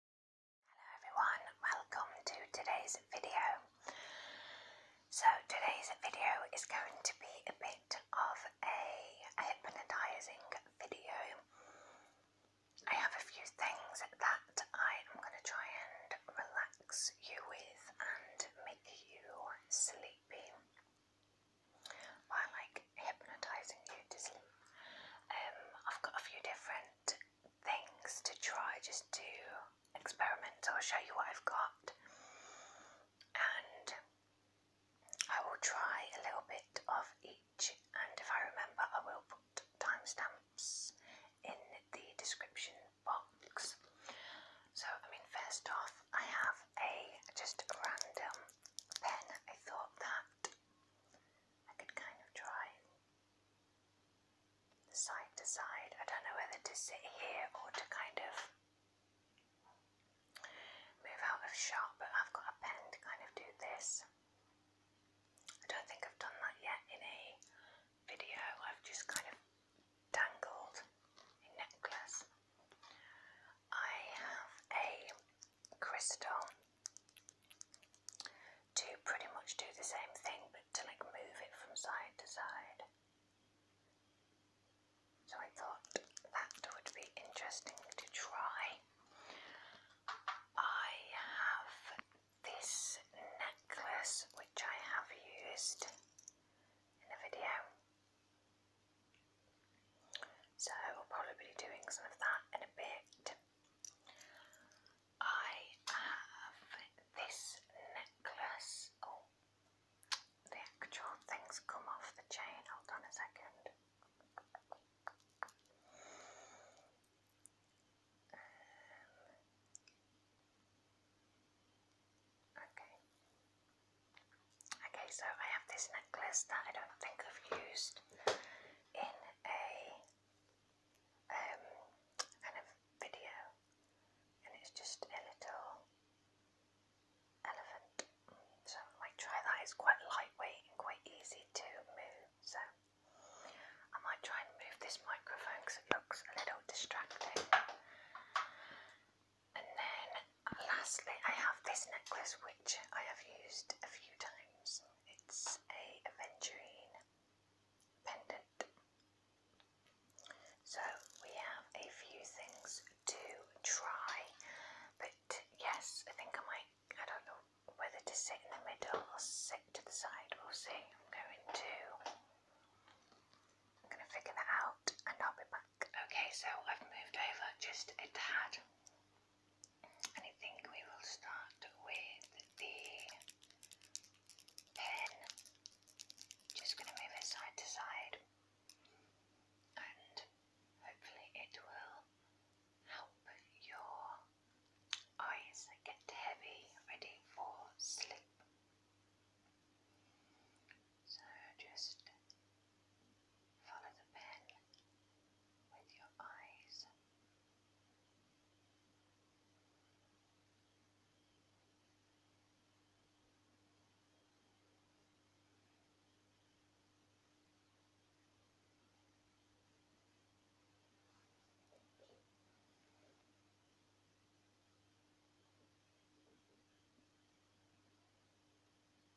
Hello everyone, welcome to today's video. So today's video is going to be a bit of a hypnotising video. I have a few things that I am going to try and relax you with and make you sleepy by like hypnotising you to sleep. Um, I've got a few different things to try just to experiment will show you what I've got. And I will try a little bit of each, and if I remember, I will put timestamps in the description box. So, I mean, first off, I have a just random pen. I thought that I could kind of try side to side. I don't know whether to sit here or to kind of move out of shot, but I've got a pen to kind of do this. I don't think I've done that yet in a video. I've just kind of dangled a necklace. I have a crystal to pretty much do the same thing but to like move it from side to side. So I thought that would be interesting to try. I have this necklace which I have used in a video. So we will probably be doing some of that in a bit. I have this necklace. Oh, the actual thing's come off the chain. Hold on a second. Um, okay. Okay, so I have this necklace that I don't think I've used in a um, kind of video, and it's just a little elephant. So I might try that. It's quite lightweight and quite easy to move. So I might try and move this microphone because it looks a little distracting. And then lastly, I have this necklace. With I have used a few times. It's a aventurine pendant. So we have a few things to try, but yes, I think I might, I don't know whether to sit in the middle or sit to the side, we'll see. I'm going to, I'm going to figure that out and I'll be back. Okay, so I've moved over just a tad and I think we will start with the pen. Just going to move it side to side, and hopefully, it will help your eyes get heavy, ready for sleep. So, just Follow the pen with your eyes. Follow the pen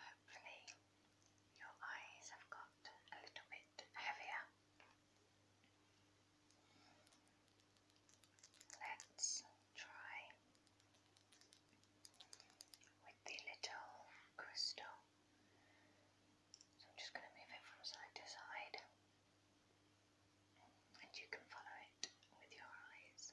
Hopefully, your eyes have got a little bit heavier. Let's try with the little crystal. So I'm just going to move it from side to side and you can follow it with your eyes.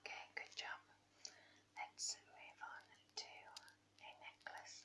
Okay, good job. Let's move on to a necklace.